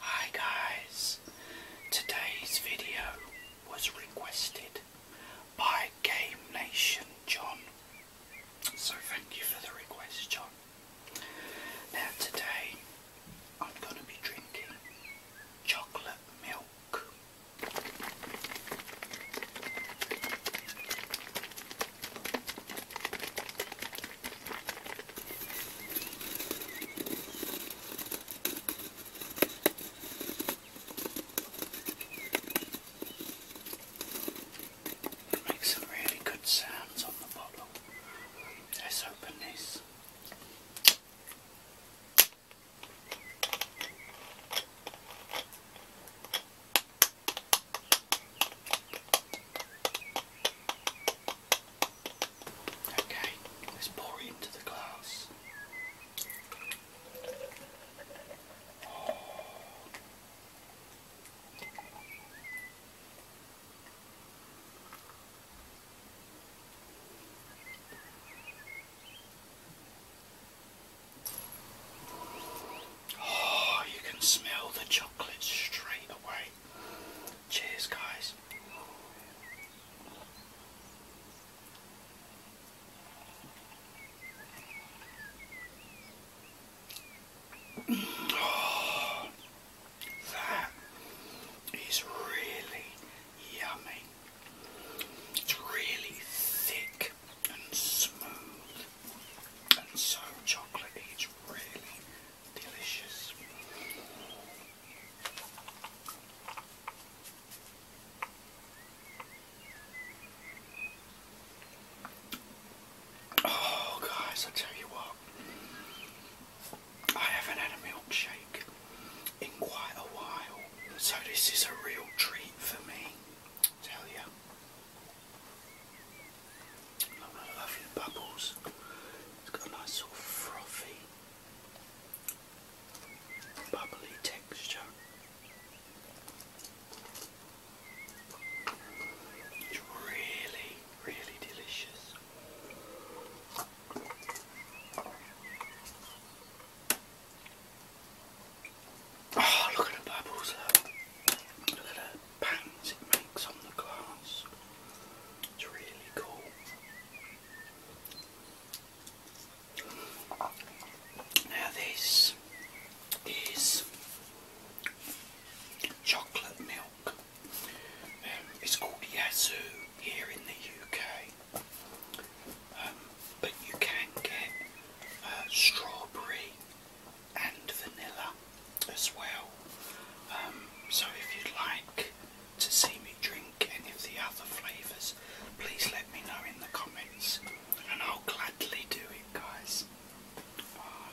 Hi guys, today's video was requested by Game Nation John. So thank you for the request John. Now today I'm going to be drinking chocolate milk. It some really good sounds on the bottle. Let's open this. Okay, let's pour it into the glass. Oh. Oh, you can smell the chocolate straight away. Cheers, guys. That is really yummy. It's really thick and smooth and so chocolatey. It's really delicious. Oh guys, I tell you what, I haven't had a milkshake in quite a while, so this is a real treat for me. tell you, I love the bubbles. It's got a nice sort frothy, bubbly texture. It's really, really delicious. Oh, look at the bubbles, look. at the patterns it makes on the glass. It's really cool. Now this is chocolate milk um, it's called Yazoo here in the UK, um, but you can get uh, strawberry and vanilla as well. Um, so if you'd like to see me drink any of the other flavours, please let me know in the comments, and I'll gladly do it, guys. Ah,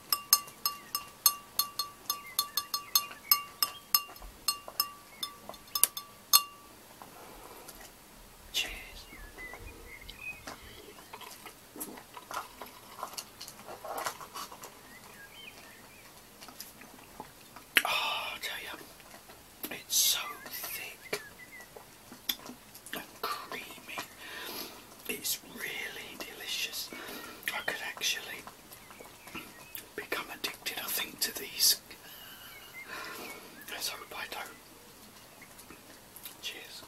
Cheers. Oh, ah, I tell you, it's so thick and creamy. It's really delicious. I could actually become addicted, I think, to these. Let's hope I do Cheers.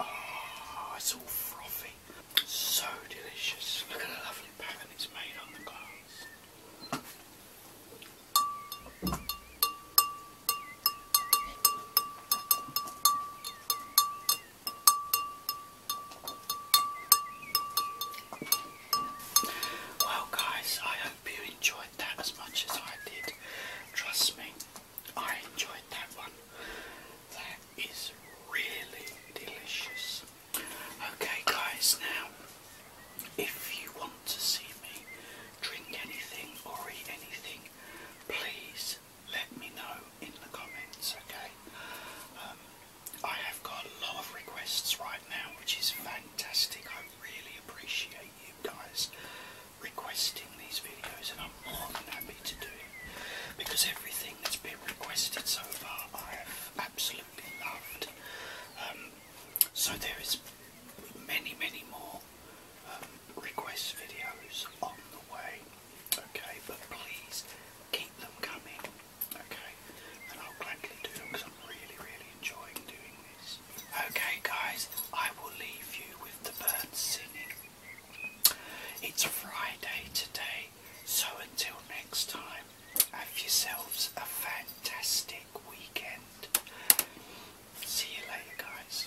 Oh, it's all frothy. So delicious. Look at the lovely pattern it's made on the glass. Well guys, I hope you enjoyed that as much as I did. Trust me, I enjoyed that one. That is really delicious. Okay, guys, now if you want to see me drink anything or eat anything, please let me know in the comments, okay? Um, I have got a lot of requests right now, which is fantastic. I really appreciate you guys requesting these videos and I'm more than happy to do it because everything that's been requested so far I have absolutely loved. Um, so there is many many more um, request videos on the way okay but please keep them coming okay and I'll gladly do them because I'm really really enjoying doing this. Okay guys I will leave you with the birds singing it's Friday today, so until next time, have yourselves a fantastic weekend. See you later, guys.